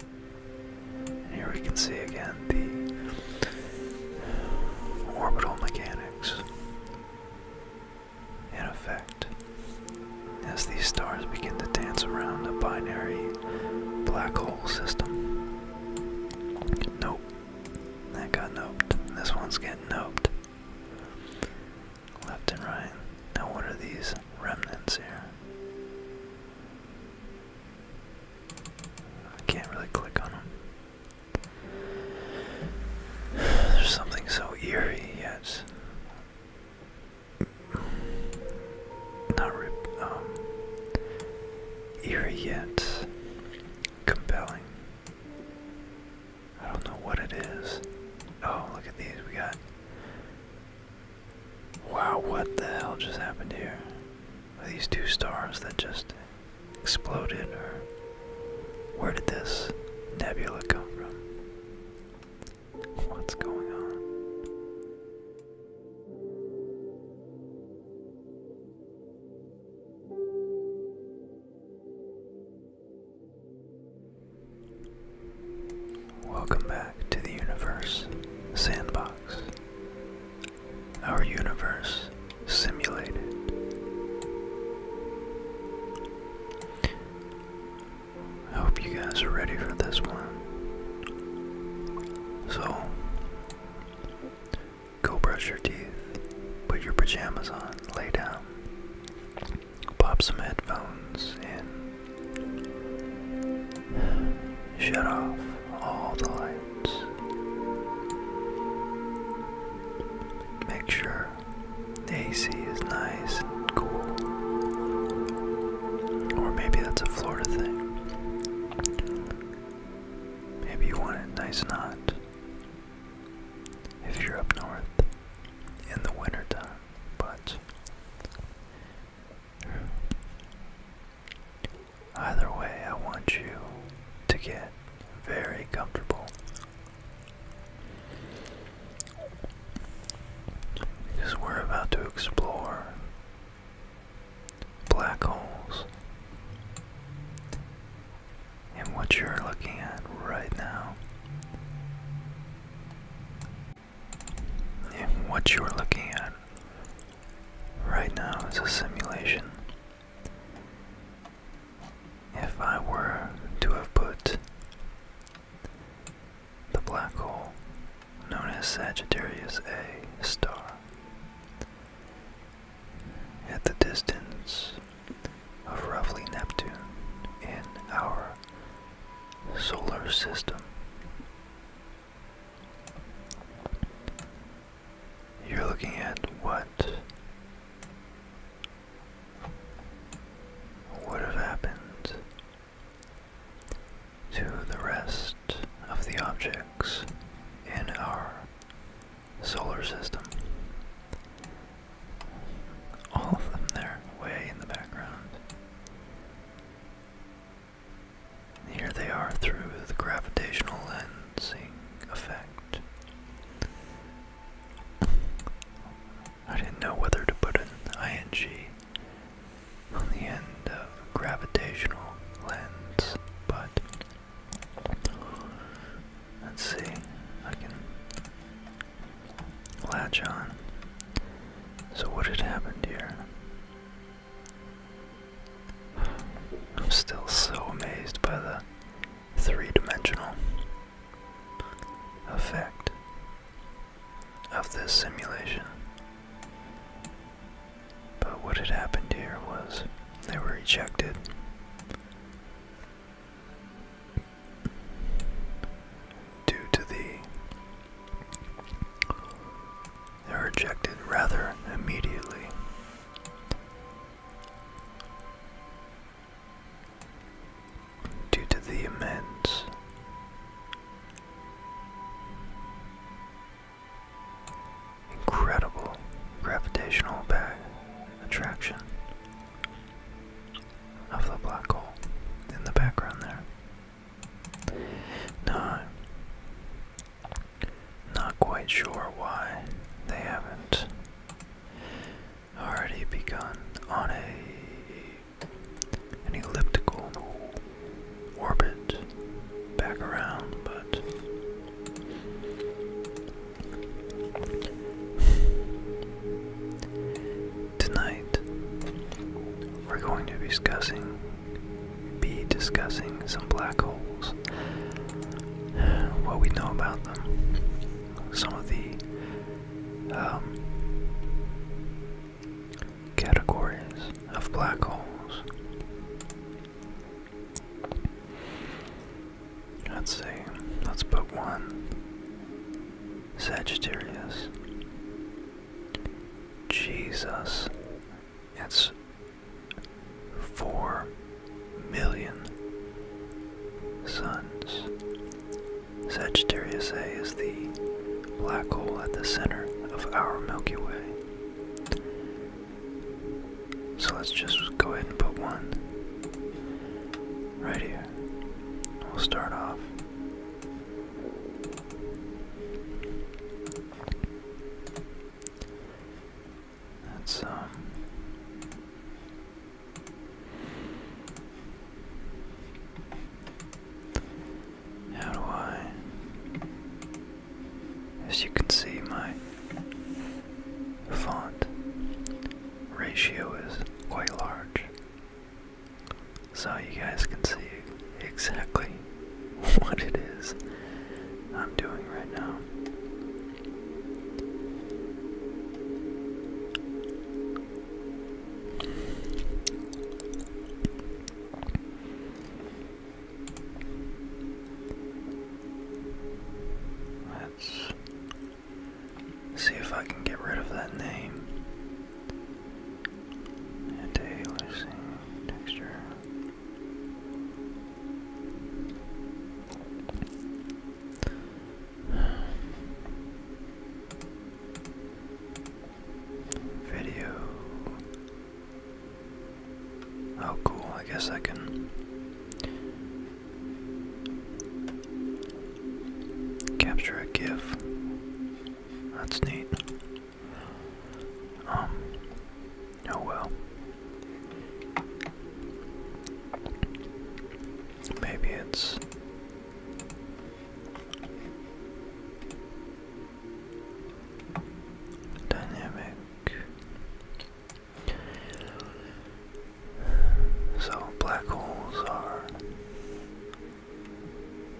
And here we can see again the orbital mechanics in effect as these stars begin to dance around a binary black hole system. Nope. That got noped. This one's getting noped. Left and right. Now, what are these remnants here? I can't really click on them. There's something so eerie yet. Not um, eerie yet compelling. I don't know what it is. Oh, look at these. We got Wow, what the hell just happened here? Are these two stars that just exploded, or where did this nebula come from? What's going on? Welcome back to the Universe Sandbox. Our universe simulated. I hope you guys are ready for this one. So, go brush your teeth, put your pajamas on, lay down, pop some headphones in. Shut off all the lights. Make sure the AC is nice and cool. Or maybe that's a Florida thing. Maybe you want it nice and hot. If you're up north in the wintertime, but Either way, I want you to get very comfortable. Because we're about to explore black holes. And what you're looking at right now what you're looking at right now is a simulation, if I were to have put the black hole known as Sagittarius A star at the distance of roughly Neptune in our solar system. You're looking at what would have happened to the rest of the objects in our solar system. All of them there, way in the background. Here they are through the gravitational lensing effect. I didn't know whether to put an ing on the end of gravitational lens, but let's see, I can latch on. So, what had happened here? I'm still so amazed by the three dimensional effect of this simulation. But what had happened here was they were ejected. Due to the they're ejected rather immediately. Due to the immense incredible gravitational attraction of the black hole in the background there. No. Not quite sure why they haven't already begun on a an elliptical orbit back around, but tonight we're going to be discussing be discussing some black holes, what we know about them, some of the um, categories of black holes. Let's see, let's put one Sagittarius. Jesus that's four million suns. Sagittarius A is the black hole at the center of our Milky Way. So let's just go ahead and put one right here. We'll start off. That's um how do I as you can see my font ratio is quite large so you guys can see exactly what it is I'm doing right now. Let's see if I can get rid of that name. And texture. Video. Oh, cool. I guess I can capture a GIF. That's neat. Um, oh well. Maybe it's. Dynamic. So black holes are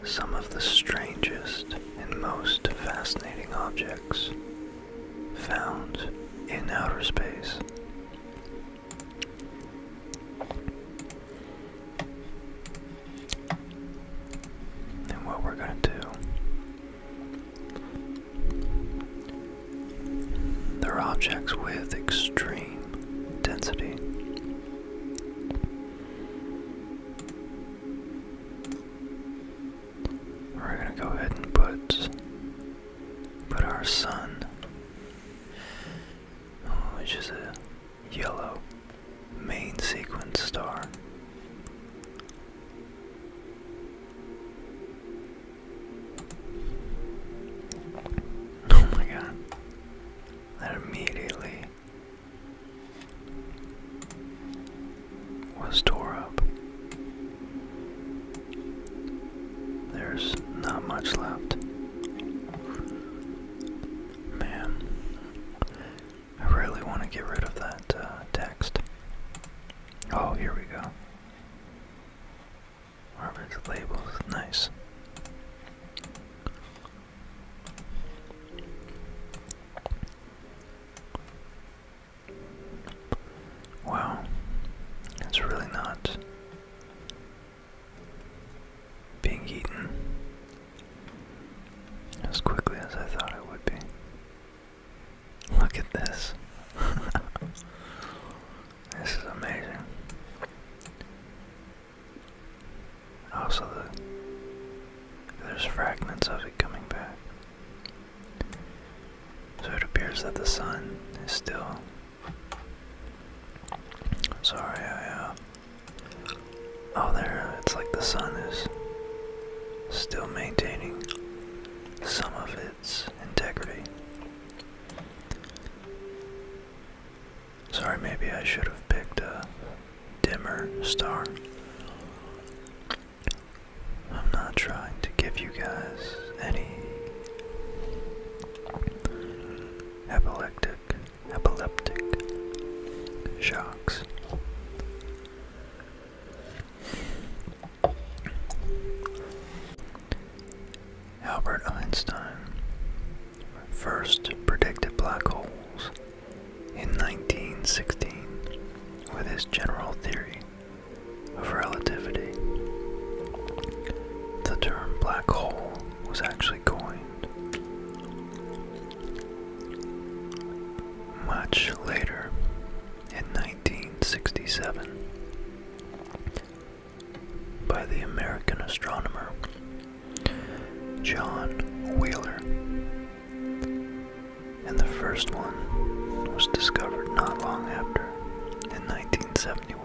some of the strangest and most fascinating objects found in outer space. And what we're going to do. They're objects with extreme density. We're gonna go ahead and put put our sun, which is a yellow main sequence star. Oh my god. That immediately was tore up. There's not much left. Man, I really want to get rid of that uh, text. Oh, here we go. Arvid's labels, nice. Wow, it's really not being eaten as quickly as I thought it would be. Look at this. this is amazing. Also, there's fragments of it coming back. So it appears that the sun is still. Sorry, I, uh, Oh, there, it's like the sun is still maintaining some of its integrity. Sorry, maybe I should have picked a dimmer star. I'm not trying to give you guys any epileptic epileptic shocks. Albert Einstein first predicted black holes in 1916 with his general theory of relativity. The term black hole was actually coined much later in 1967 by the American astronomer John Wheeler and the first one was discovered not long after, in 1971.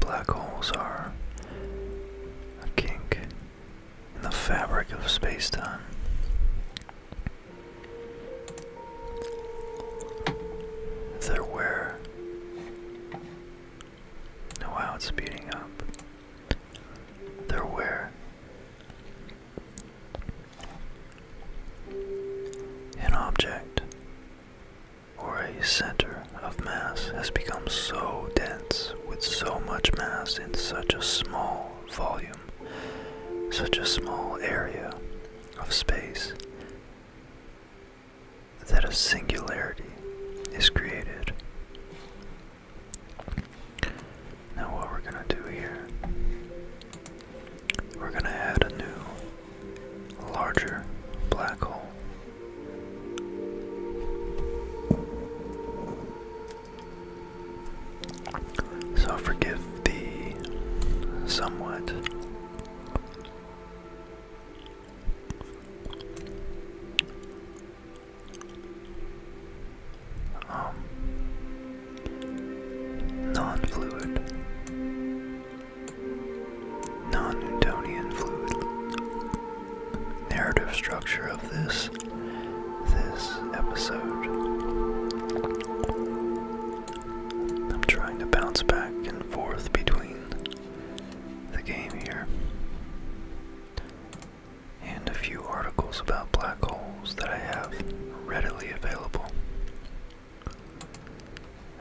Black holes are a kink in the fabric of space time. They're where. Oh wow, it's speeding up. They're where. An object or a center of mass has become so dense with so much mass in such a small volume, such a small area of space, that a singularity is created. Now, what we're going to do here, we're going to add a new larger black hole. So forgive the somewhat um, non-fluid non-Newtonian fluid narrative structure of this this episode. I'm trying to bounce back and forth between the game here and a few articles about black holes that I have readily available.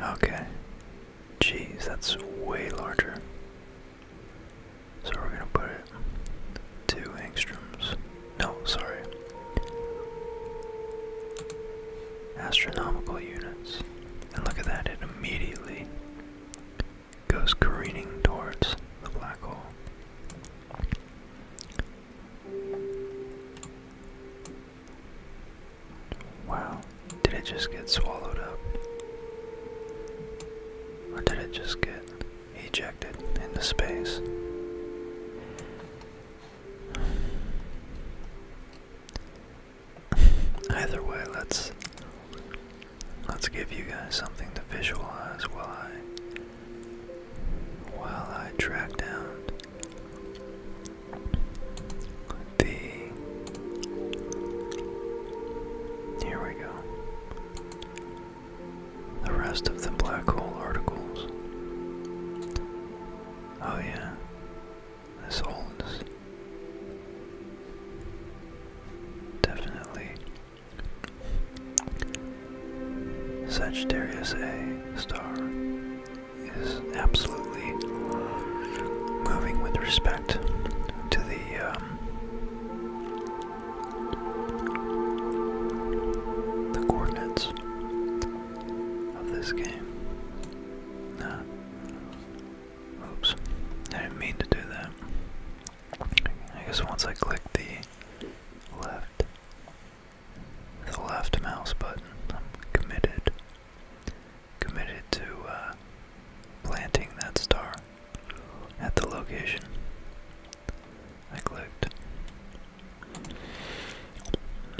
Okay, Jeez, that's way larger. So we're gonna put it two angstroms. No, sorry. Astronomical units. And look at that, it immediately goes careening towards the black hole. Wow, did it just get swallowed up? Or did it just get ejected into space? Either way, let's let's give you guys something to visualize while I while I track down the here we go the rest of the black hole articles oh yeah this holds definitely Sagittarius A star is absolutely moving with respect to the um, the coordinates of this game. Oops, I didn't mean to do that. I guess once I click the left, the left mouse button, I'm committed committed to uh, planting that star at the location I clicked.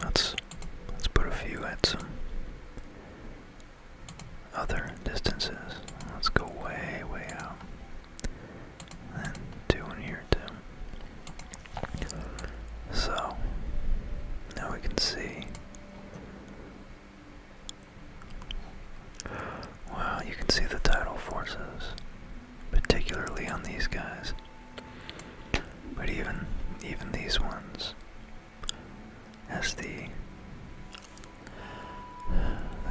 Let's let's put a few at some other distances. Let's go way, way out. And two in here too. So now we can see Wow, you can see the tidal forces, particularly on these guys. But even even these ones, as the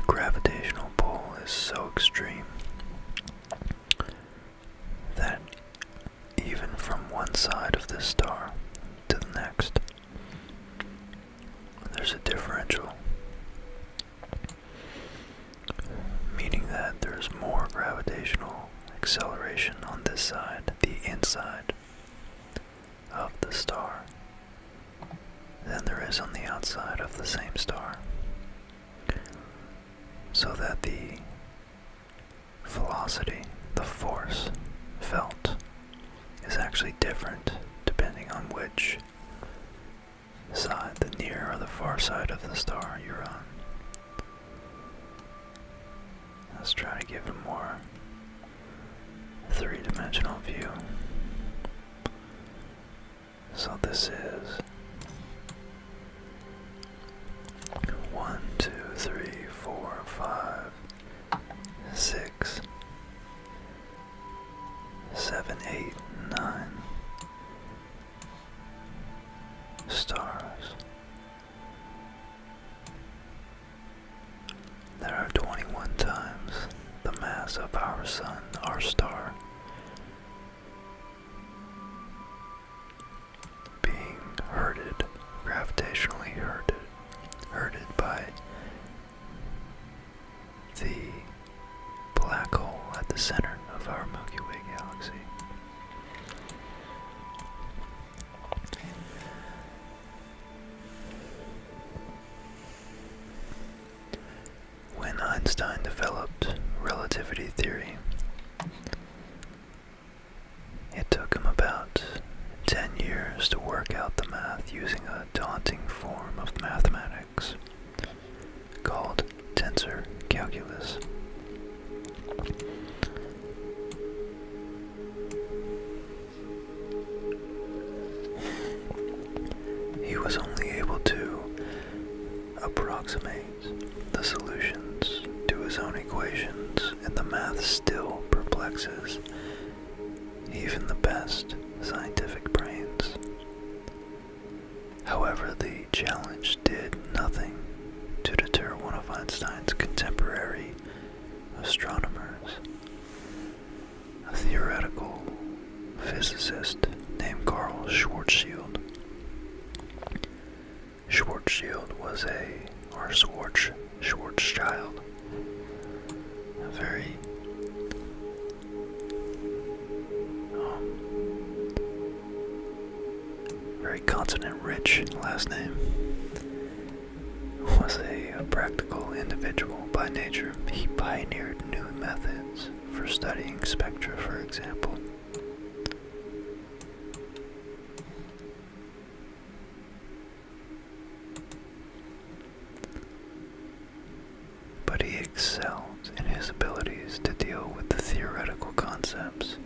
gravitational pull is so extreme that even from one side of the star to the next, there's a differential, meaning that there's more gravitational acceleration on this side, the inside of the star, than there is on the outside of the same star. So that the velocity, the force felt is actually different depending on which side, the near or the far side of the star you're on. Let's try to give a more three-dimensional view. So this is one, two, three, four, five, six, seven, eight, nine stars. There are 21 times the mass of our sun, our star, being herded, gravitationally herded, herded by the black hole at the center of our Milky Way galaxy. When Einstein developed relativity theory, it took him about ten years to work out the math using a daunting form of mathematics called tensor calculus. He was only able to approximate the solutions to his own equations, and the math still perplexes even the best scientific brains. However, the challenge did nothing to deter one of Einstein's contemporary astronomers, a theoretical physicist named Carl Schwarzschild. Schwarzschild was a, or Schwartz Schwarzschild. A very um, very consonant rich last name. Was a practical individual by nature. He pioneered new methods for studying spectra, for example. But he excelled in his abilities to deal with the theoretical concepts,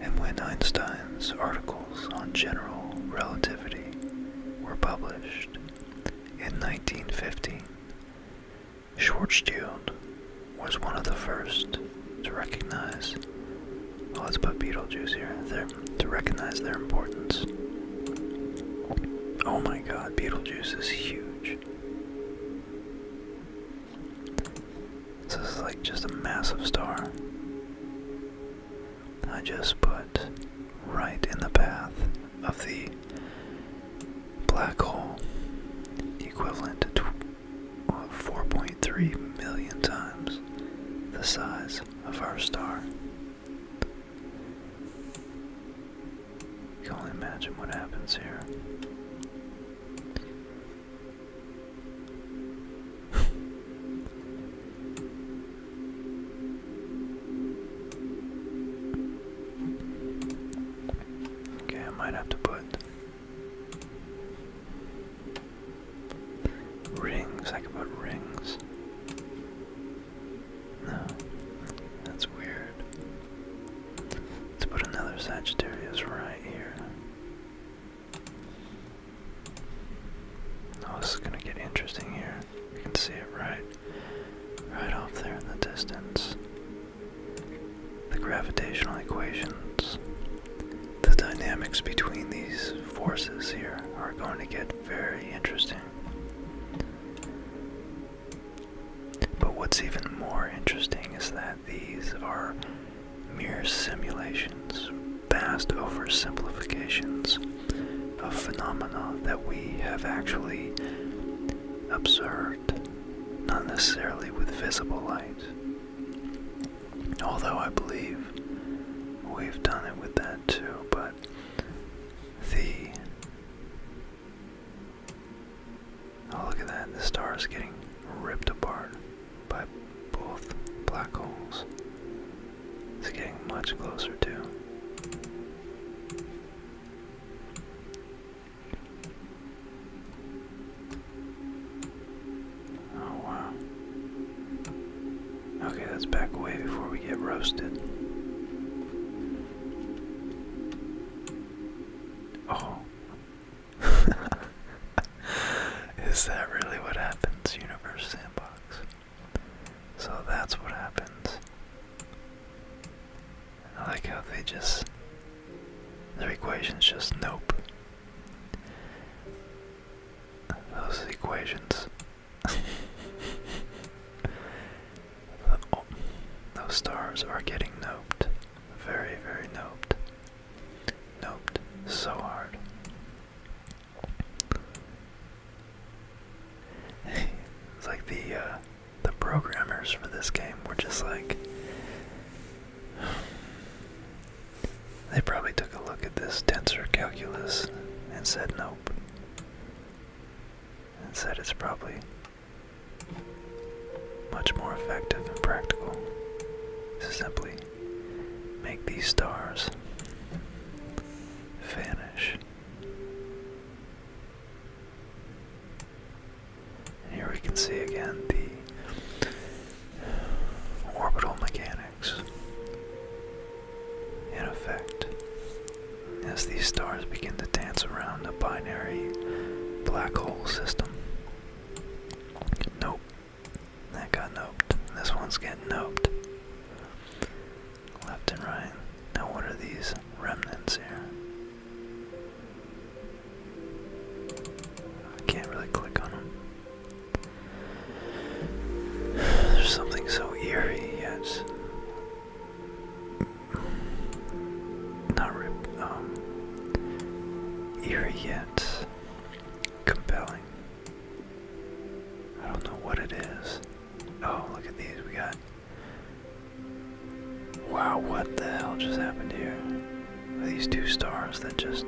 and when Einstein's articles on general relativity were published in 1915, Schwarzschild was one of the first to recognize. Oh, let's put Beetlejuice here. and There to recognize their importance. Oh my god, Beetlejuice is huge. this is like just a massive star. I just put right in the path of the black hole, equivalent to uh, 4.3 million times the size of our star can not imagine what happens here. okay, I might have to put rings. I can put rings. No, that's weird. Let's put another Sagittarius right here. Oh, this is gonna get interesting here. You can see it right, right off there in the distance. The gravitational equations, the dynamics between these forces here are going to get very interesting. But what's even more interesting is that these are mere simulations, vast oversimplifications of phenomena that we have actually observed, not necessarily with visible light. Although I believe we've done it with that too, but the Oh look at that, the star is getting ripped apart by both black holes. It's getting much closer too. Oh wow. Okay, let's back away before we get roasted. Oh. Is that really what happens, Universe Sandbox? So that's what happens. I like how they just. Their equation's just nope. Those equations those stars are getting noped. Very, very noped. Noped so hard. it's like the uh, the programmers for this game were just like they probably took a look at this tensor calculus and said nope and said it's probably much more effective and practical to simply make these stars vanish. here we can see again the orbital mechanics in effect, as these stars begin to dance around a binary black hole system. Nope. That got noped. This one's getting noped. Left and right. Now, what are these remnants here? I can't really click on them. There's something so eerie yet not rip, um, eerie yet compelling. I don't know what it is. Oh, look at these. We got. Wow, what the hell just happened here? these two stars that just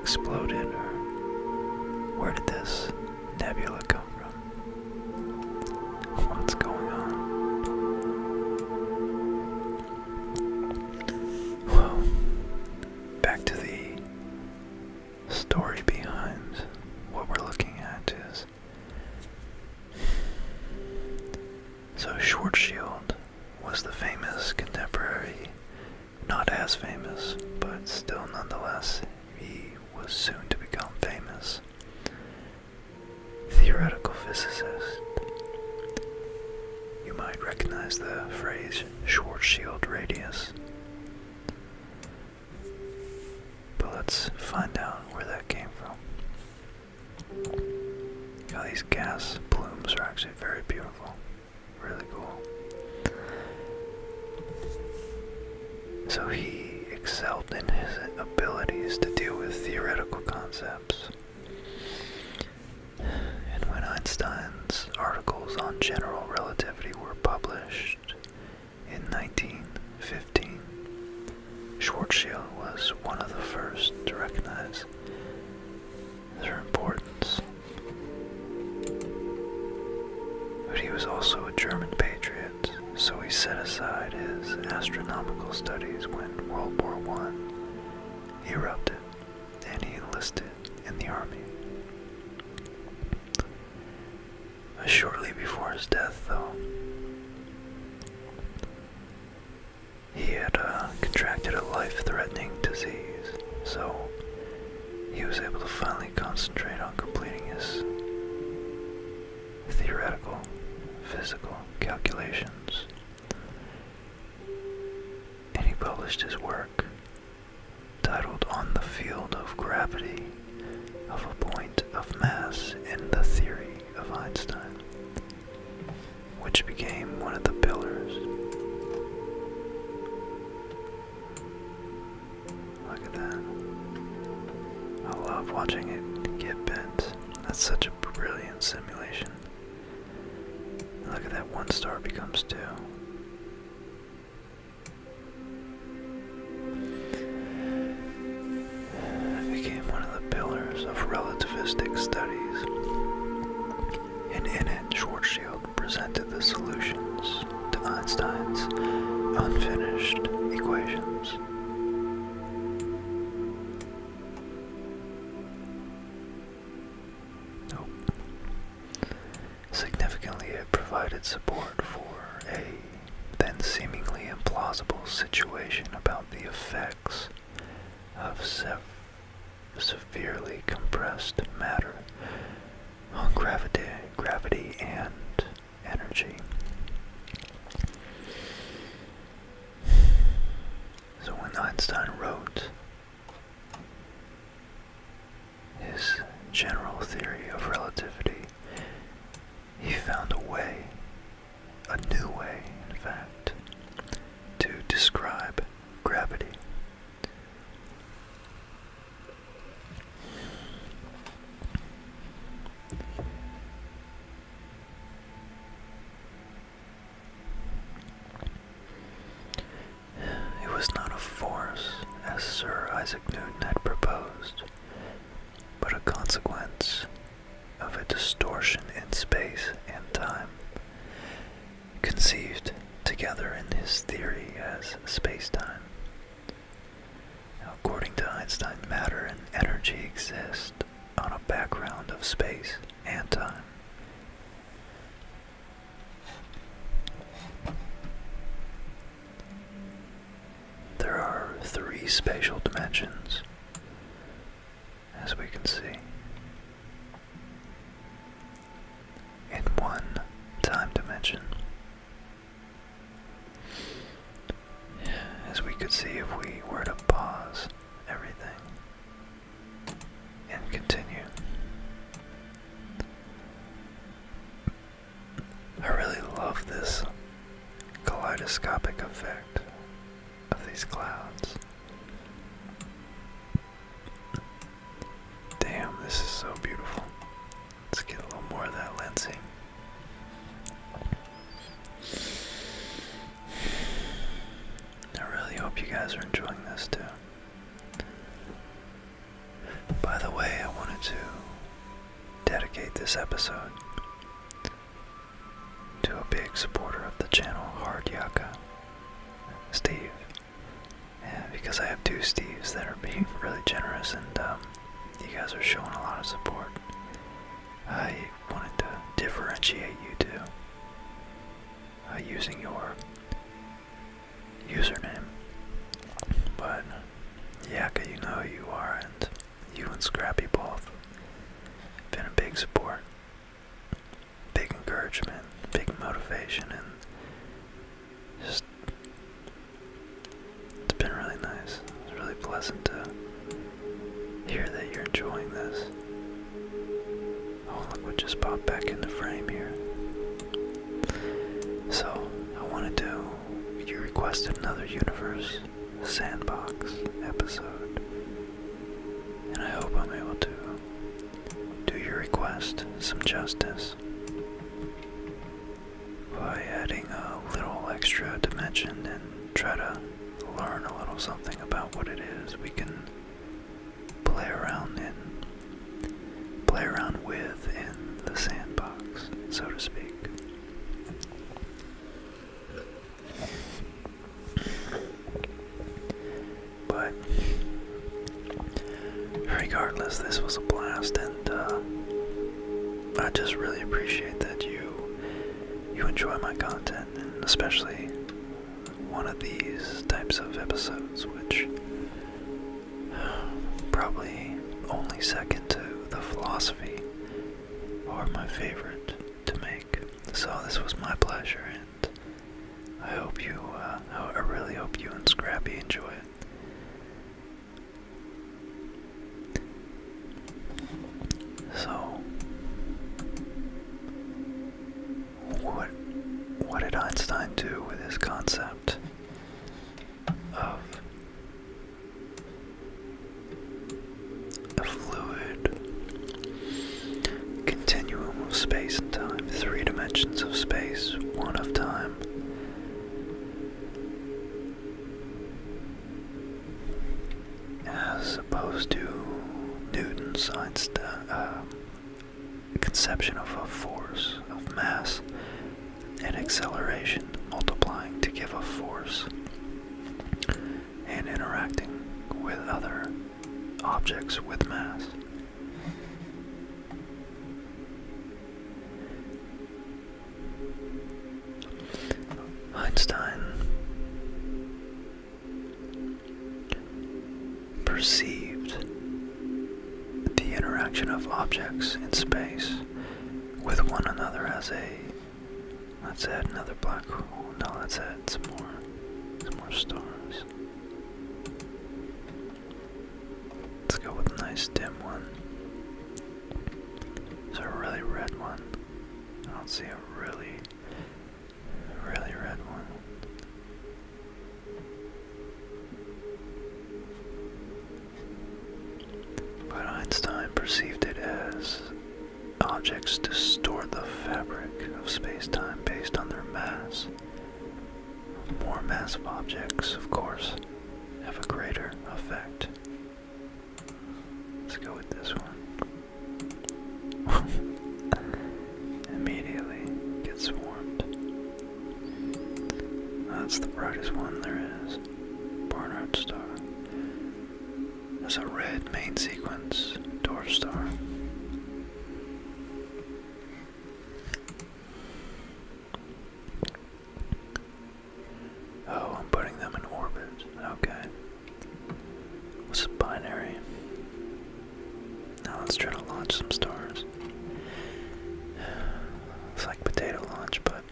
exploded? where did this nebula come from? What's going on? Well, back to the story behind what we're looking at is so Schwarzschild was the famous contemporary, not as famous, but still nonetheless, he was soon to become famous theoretical physicist. You might recognize the phrase Schwarzschild radius. But let's find out where that came from. Now these gas plumes are actually very beautiful. Really cool so he excelled in his abilities to deal with theoretical concepts. And when Einstein's articles on general relativity were published in 1915, Schwarzschild was one of the first to recognize their importance. But he was also a German patriot so he set aside his astronomical studies when World War I erupted and he enlisted in the army. Shortly before his death, though, he had uh, contracted a life threatening disease, so he was able to finally concentrate on completing his theoretical, physical calculations, and he published his work titled On the Field of Gravity of a Point of Mass in the Theory of Einstein, which became one of the pillars Look at that. I love watching it get bent. That's such a brilliant simulation. Look at that one star becomes two. became one of the pillars of relativistic studies, and in it, Schwarzschild presented the solutions to Einstein's unfinished equations. Significantly, it provided support for a then seemingly implausible situation about the effects of severely compressed matter on gravity, gravity and energy. So when Einstein wrote his general theory of relativity, he found a way, a new way, in fact, to describe gravity. It was not a force, as Sir Isaac Newton had proposed, but a consequence of a distortion in space and time, conceived together in his theory as space time according to Einstein, matter and energy exist on a background of space and time. There are three spatial dimensions, as we can see. In one time dimension, as we could see if we were to pause everything and continue. I really love this kaleidoscopic effect of these clouds. Damn, this is so beautiful. Let's get a little more of that lensing. I really hope you guys are enjoying this too. By the way, I wanted to dedicate this episode to a big supporter of the channel, Hard Yaka, Steve. because I have two Steves that are being really generous and um, you guys are showing a lot of support. I wanted to differentiate you two uh, using your username. But Yaka, you know who you are, and you and Scrappy both been a big support, big encouragement, big motivation, and just it's been really nice. It's really pleasant to hear that you're enjoying this. Oh, look what just popped back in the frame here. So, I wanted to. You requested another Universe Sandbox episode. And I hope I'm able to do your request some justice by adding a little extra dimension and try to learn a little something about what it is we can play around in, play around with in the sandbox, so to speak. But regardless, this was a blast, and uh, I just really appreciate that you you enjoy my content, and especially one of these types of episodes, which probably only second to the philosophy are my favorite to make. So this was my pleasure, and I hope you, uh, I really hope you and Scrappy enjoy it. So what what did Einstein do with his concept of a fluid continuum of space and time, three dimensions of space, one of time, as opposed to Newton's uh, uh, conception of a force, of mass, and acceleration multiplying to give a force and interacting with other objects with mass. Einstein perceived the interaction of objects in space with one another as a let's add another black hole. No, let's add some more some more stars. Let's go with a nice dim one. It's a really red one. I don't see a really, really red one. But Einstein perceived it as objects distort the fabric of space time based on their mass. More massive objects, of course, have a greater effect. Let's go with this one. Immediately gets swarmed. That's the brightest one there is. Barnard Star. That's a red main sequence dwarf star. Oh, I'm putting them in orbit. Okay. What's a binary? Now let's try to launch some stars. It's like potato launch, but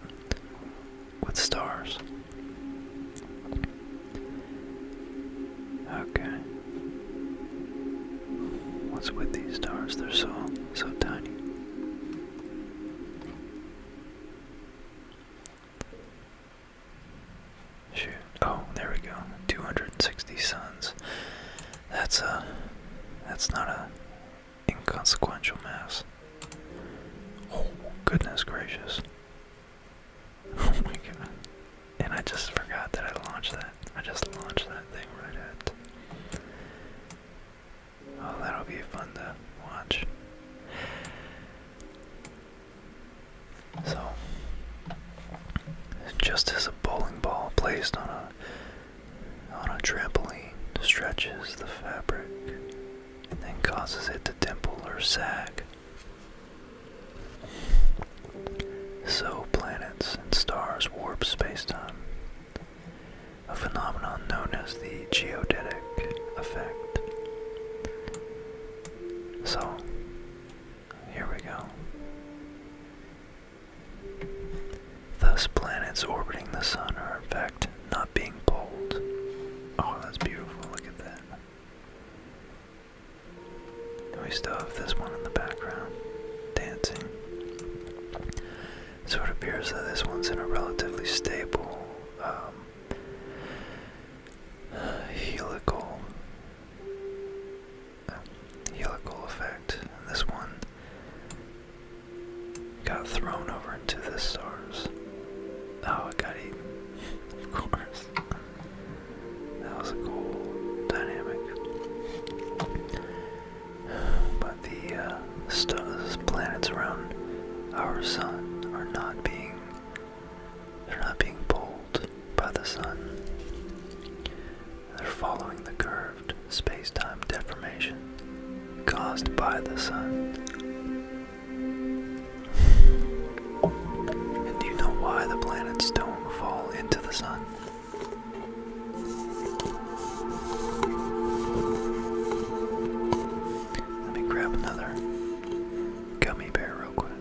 with stars. Okay. What's with these stars? They're so so tiny. Shoot. Oh, there we go. 260 suns. That's a. That's not a inconsequential mass. Oh, goodness gracious. Oh my god. And I just forgot that I launched that. I just launched that thing right at. Oh, that'll be fun to watch. So, just as a bowling ball placed on a on a trampoline stretches the fabric and then causes it to dimple or sag. So planets and stars warp spacetime, a phenomenon known as the geodetic effect. So, here we go. Thus, planets orbiting the sun are in fact not being pulled. Oh, that's beautiful. Look at that. we still have this one in the background, dancing. So it appears that this one's in a relatively stable um, uh, helical uh, helical effect. And this one got thrown over into this stars. Oh, it got eaten. of course. That was a cool dynamic. But the uh, stars, planets around our sun are not being they're not being pulled by the sun. They're following the curved space time deformation caused by the sun. And do you know why the planets don't fall into the sun? Let me grab another gummy bear real quick.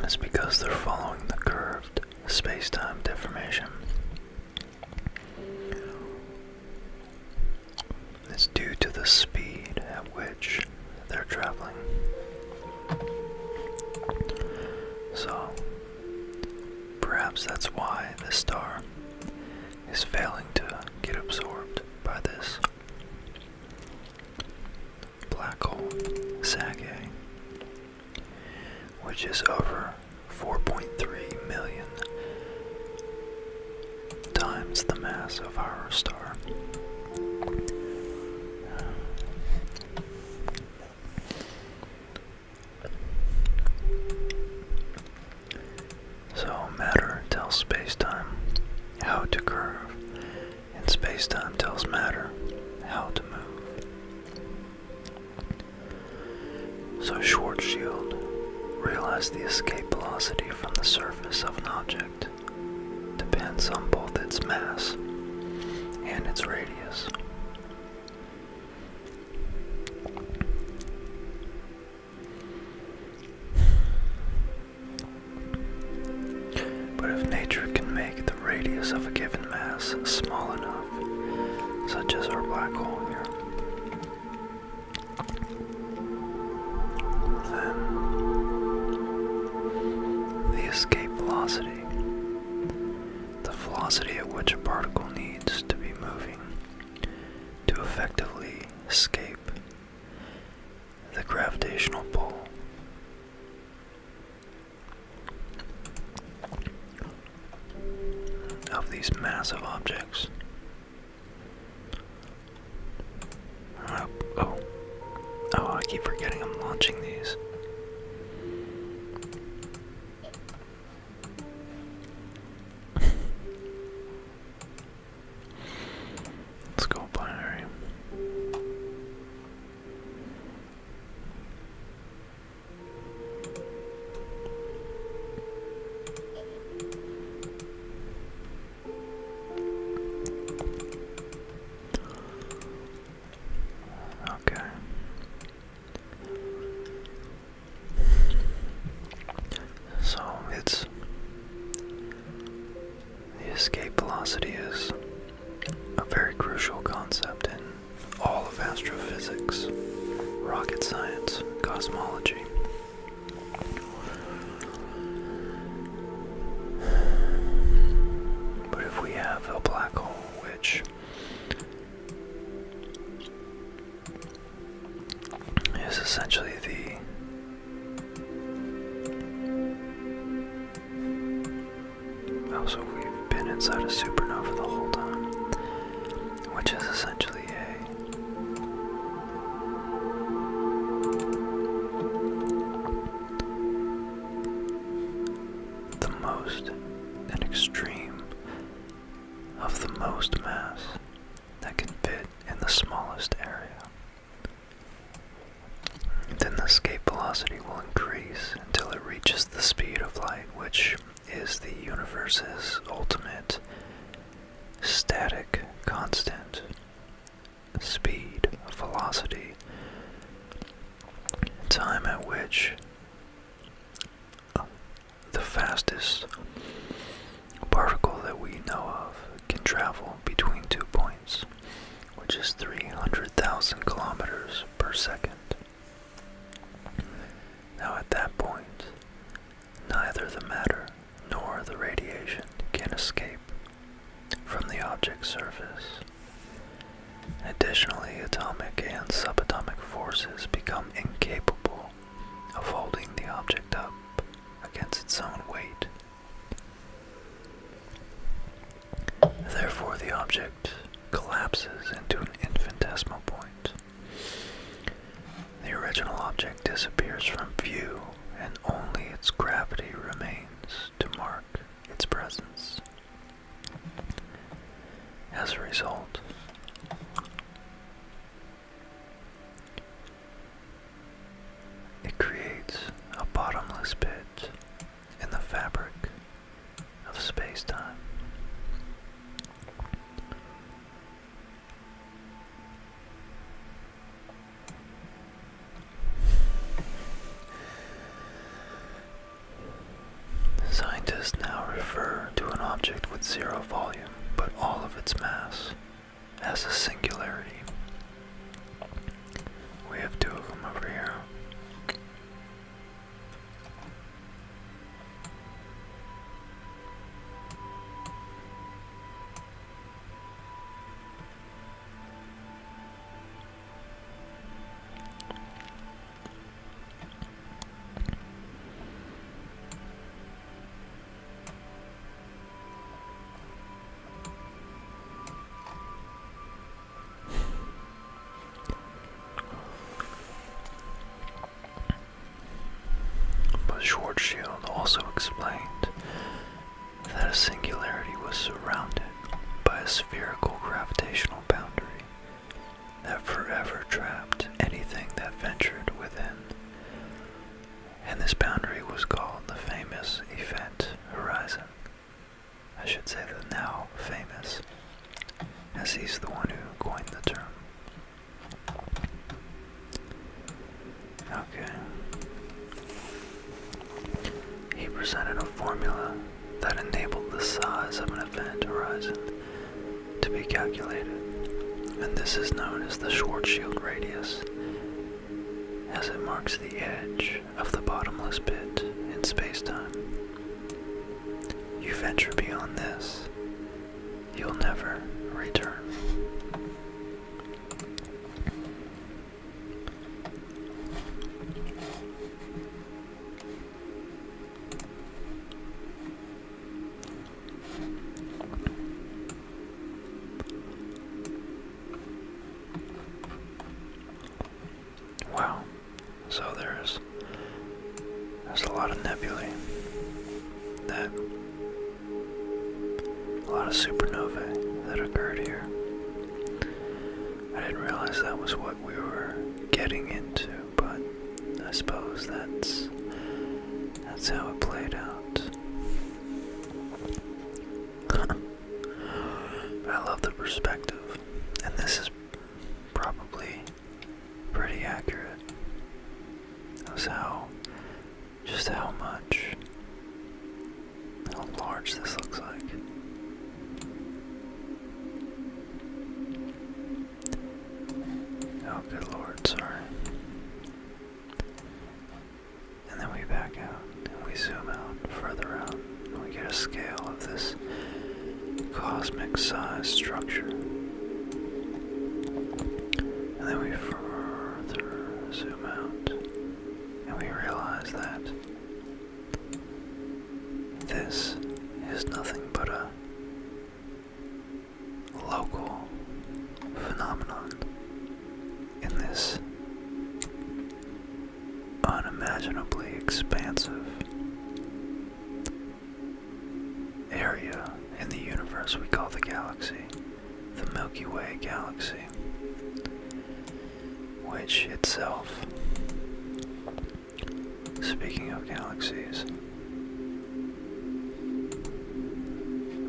That's because they're following the curved space-time deformation. It's due to the speed at which they're traveling. So, Perhaps that's why the star is failing to get absorbed by this black hole Sage, which is over 4.3 million times the mass of our star. So matter tells spacetime how to curve, and spacetime tells matter how to move. So Schwarzschild realized the escape velocity from the surface of an object depends on both its mass and its radius. But if nature can make the radius of a given mass small enough, such as our black hole here, then the escape velocity, the velocity at which a particle needs needs to be moving to effectively escape the gravitational pull. Of these massive objects. Oh, oh, oh! I keep forgetting I'm launching these. Let's go binary. Okay. So it's the escape velocity is a very crucial concept in all of astrophysics, rocket science, cosmology. But if we have a black hole which is essentially the also oh, we've been inside a supernova the whole time, which is essentially a the most an extreme of the most mass that can fit in the smallest area. Then the escape velocity will increase until it reaches the speed of light, which is the universe's ultimate static constant. Speed, velocity, time at which the fastest particle that we know of can travel between two points, which is 300,000 kilometers per second. Now, at that point, neither the matter nor the radiation can escape from the object's surface. Additionally, atomic and subatomic forces become incapable of holding the object up against its own weight. Therefore, the object collapses into an infinitesimal point. The original object disappears from view, and only its gravity remains to mark its presence. As a result, it creates a bottomless pit in the fabric of spacetime. Scientists now refer to an object with zero volume but all of its mass as a singularity. We have two of them over here. But Schwarzschild also explained that a singularity was surrounded by a spherical gravitational boundary that forever trapped anything that ventured within. And this boundary was called the famous event horizon. I should say the now famous, as he's the one who coined the term. Okay. He presented a formula that enabled the size of an event horizon to be calculated, and this is known as the Schwarzschild radius, as it marks the edge of the bottomless pit in spacetime. You venture beyond this, you'll never return. Wow. So there's there's a lot of nebulae that a lot of supernovae that occurred here. I didn't realize that was what we were getting into but I suppose that's that's how it played out. I love the perspective, and this is probably pretty accurate. That's how, just how much, how large this looks like. Oh, good lord, sorry. And then we back out and we zoom out further out and we get a scale of this cosmic sized structure. And then we further zoom out and we realize that this is nothing but a local phenomenon in this unimaginably expansive area in the universe we call the galaxy, the Milky Way galaxy, which itself Speaking of galaxies.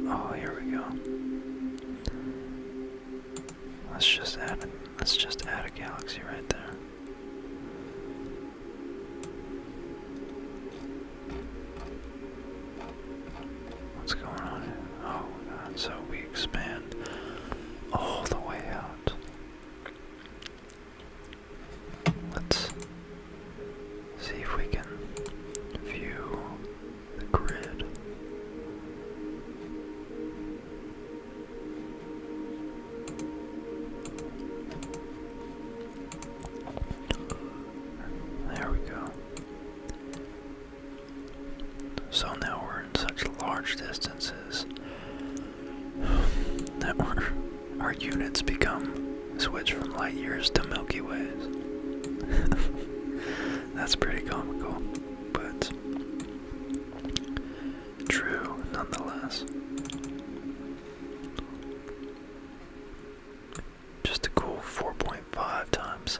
Oh, here we go. Let's just add a, let's just add a galaxy right there. What's going on Oh so we expand all the way out. Let's see if we can view the grid. There we go. So now we're in such large distances that we're our units become switch from light years to Milky Ways. That's pretty comical, but true nonetheless. Just a cool 4.5 times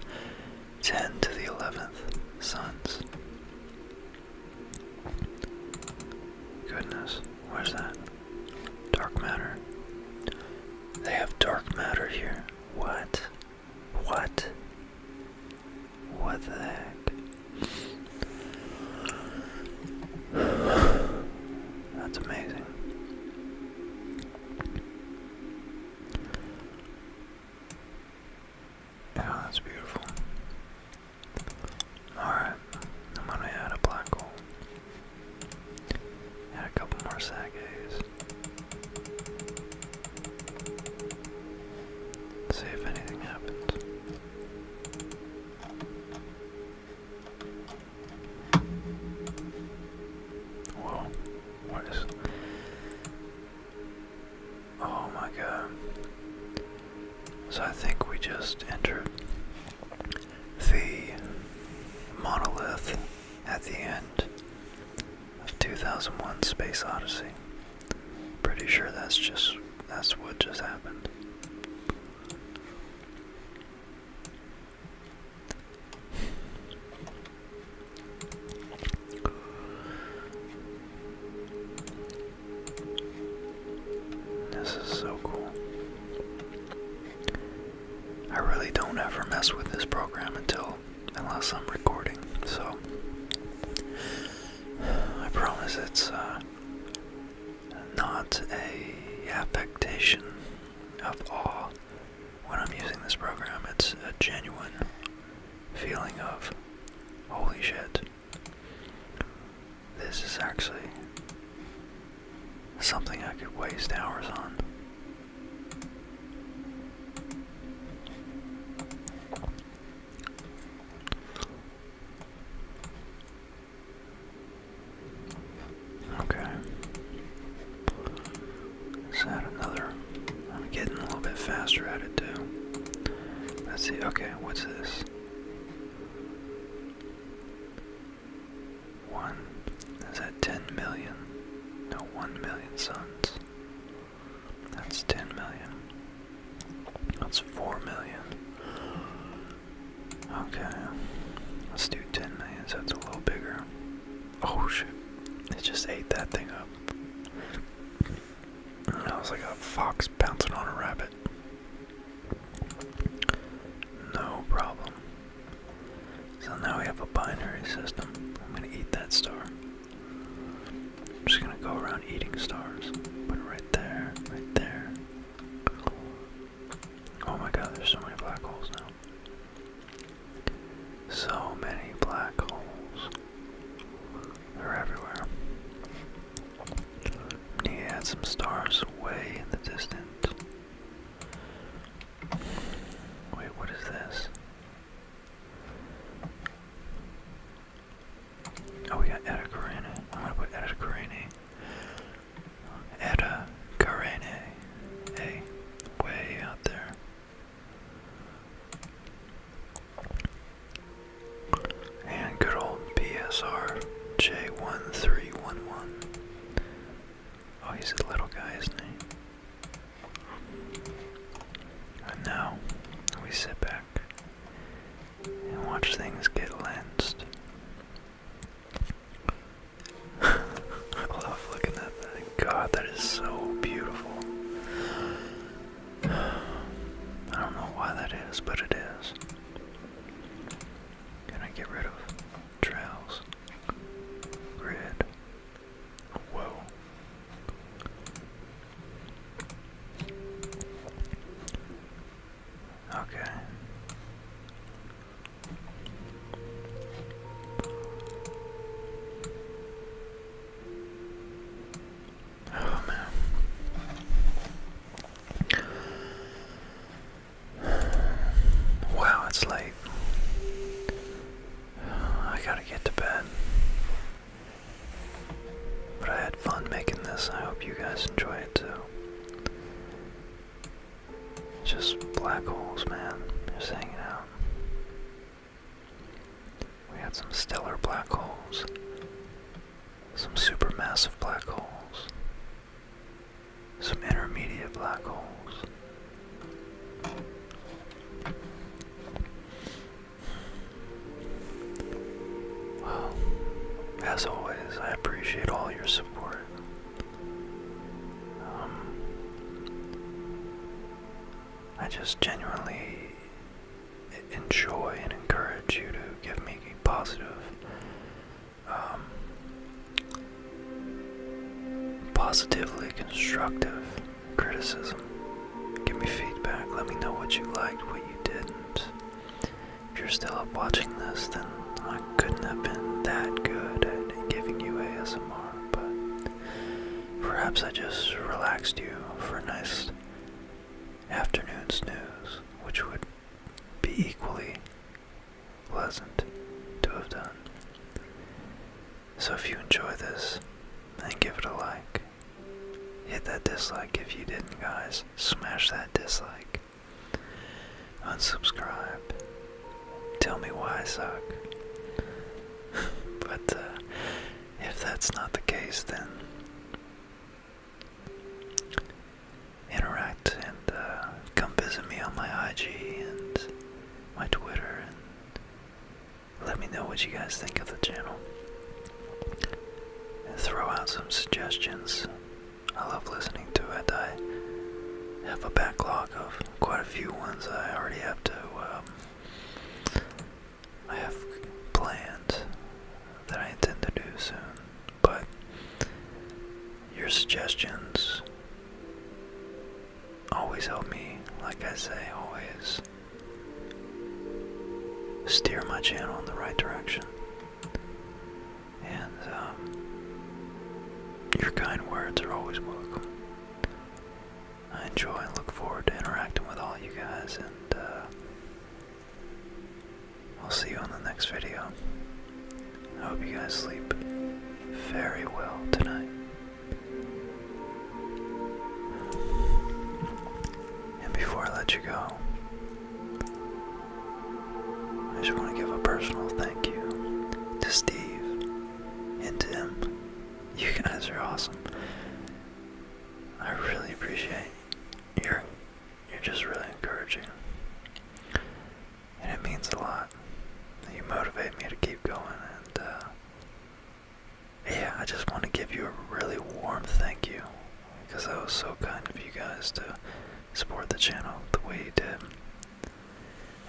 10 to the 11th suns. Goodness. Where's that? Dark matter. They have dark matter here. What? What? What the heck? That's amazing. Yeah, that's beautiful. Alright. I'm gonna add a black hole. Add a couple more Sagays. See if anything happens. Whoa, what is. Oh my god. So I think we just entered the monolith at the end of 2001 Space Odyssey. Pretty sure that's just that's what just happened. This is so cool. I really don't ever mess with this program until unless I'm recording. So I promise it's uh, not a affectation of awe when I'm using this program. It's a genuine feeling of holy shit. This is actually Something I could waste hours on. Okay. add another. I'm getting a little bit faster at it too. Let's see. Okay, what's this? One is at 10 million. No, 1 million suns. That's 10 million. That's 4 million. Okay. Let's do 10 million, that's a little bigger. Oh shit. It just ate that thing up. That was like a fox bouncing on a rabbit. No problem. So now we have a binary system. I'm gonna eat that star. I'm just gonna go around eating stars. Put it right there, right there. Oh my god, there's so many black holes now. So many black holes. They're everywhere. Need to add some stars way in the distance. Wait, what is this? Oh, we got Etta I'm gonna put Etta Carene. Etta Carene. way out there. And good old PSR J1311. Oh, he's a little guy, isn't he? And now we sit back and watch things get lensed. I love looking at that. God, that is so beautiful. I don't know why that is, but it is. Can I get rid of trails? Red. Whoa. Okay. Oh man. Wow, it's late. I gotta get to bed. But I had fun making this. I hope you guys enjoy it too. Just black holes, man. Just hanging out. We had some stellar black holes, some supermassive black holes, some intermediate black holes. Well, as always, I appreciate all your support. Um, I just genuinely enjoy and encourage you to give me positive um, positively constructive criticism. Give me feedback. Let me know what you liked, what you didn't. If you're still up watching this, then I couldn't have been that good at giving you ASMR, but perhaps I just relaxed you for a nice afternoon snooze, which would be equally pleasant to have done. So if you enjoy this, then give it a like. Hit that dislike if you didn't, guys. Smash that dislike. Unsubscribe. Tell me why I suck. but uh, if that's not the case, then interact and uh, come visit me on my IG and my Twitter and let me know what you guys think of the channel. And throw out some suggestions. I love listening to it. I have a backlog of quite a few ones I already have to. Um, I have planned that I intend to do soon, but your suggestions Always help me, like I say, always steer my channel in the right direction. And um, your kind words are always welcome. I enjoy and look forward to interacting with all you guys, and uh, I'll see you on the next video. I hope you guys sleep very well tonight. And before I let you go, I just want to give a personal thank you to Steve and Tim. You guys are awesome. I really appreciate you're you're just really encouraging and it means a lot. You motivate me to keep going, and uh, yeah, I just want to give you a really warm thank you because that was so kind of you guys to support the channel the way you did.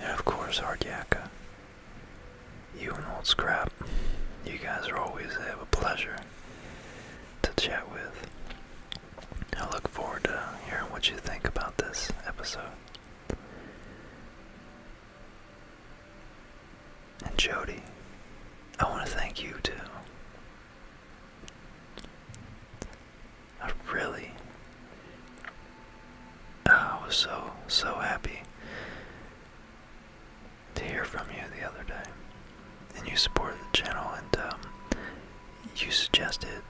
And of course, Ardyaka, you and Old Scrap, you guys are always have a pleasure to chat with. I look forward to hearing what you think about this episode. And Jody, I want to thank you too. I really, ah, I was so, so happy to hear from you the other day. And you supported the channel and um, you suggested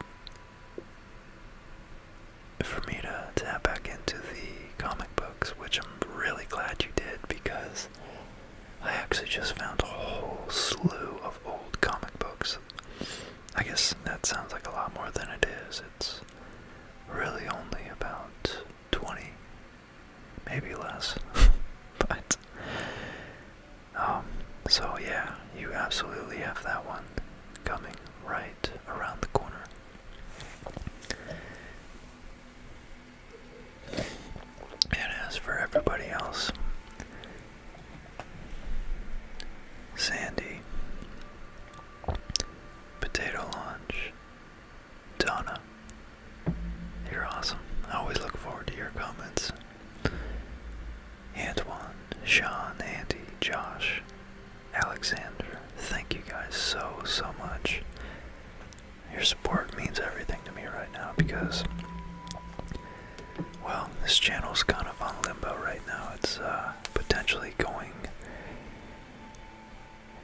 for me to tap back into the comic books, which I'm really glad you did because I actually just found a whole slew of old comic books. I guess that sounds like a lot more than it is. It's really only about 20, maybe less. but, um, so yeah, you absolutely have that one coming right around the corner. And as for everybody else, Sandy, Potato Launch, Donna, you're awesome. I always look forward to your comments. Antoine, Sean, Andy, Josh, Alexander. Thank you guys so, so much. Your support means everything to me right now because, well, this channel is kind of on limbo right now. It's uh, potentially going,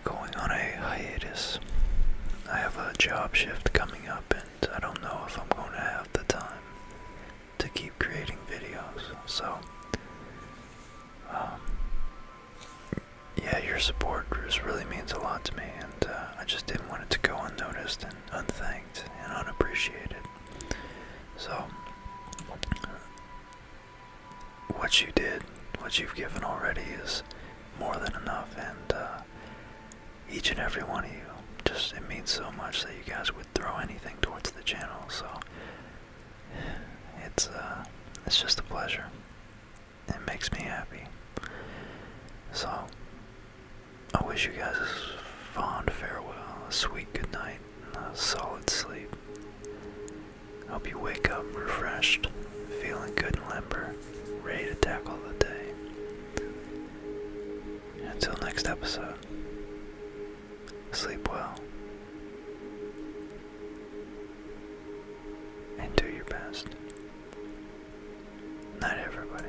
going on a hiatus. I have a job shift coming up, and I don't know if I'm going to have the time to keep creating videos. So, um, yeah, your support just really means a lot to me, and uh, I just didn't want it to go unnoticed and unthanked and unappreciated. So, what you did, what you've given already is more than enough, and uh, each and every one of you, just it means so much that you guys would throw anything towards the channel. So, it's uh it's just a pleasure. It makes me happy. So I wish you guys a fond farewell, a sweet good night, and a solid sleep. Hope you wake up refreshed, feeling good and limber, ready to tackle the day. Until next episode. Sleep well. And do your best. Night, everybody.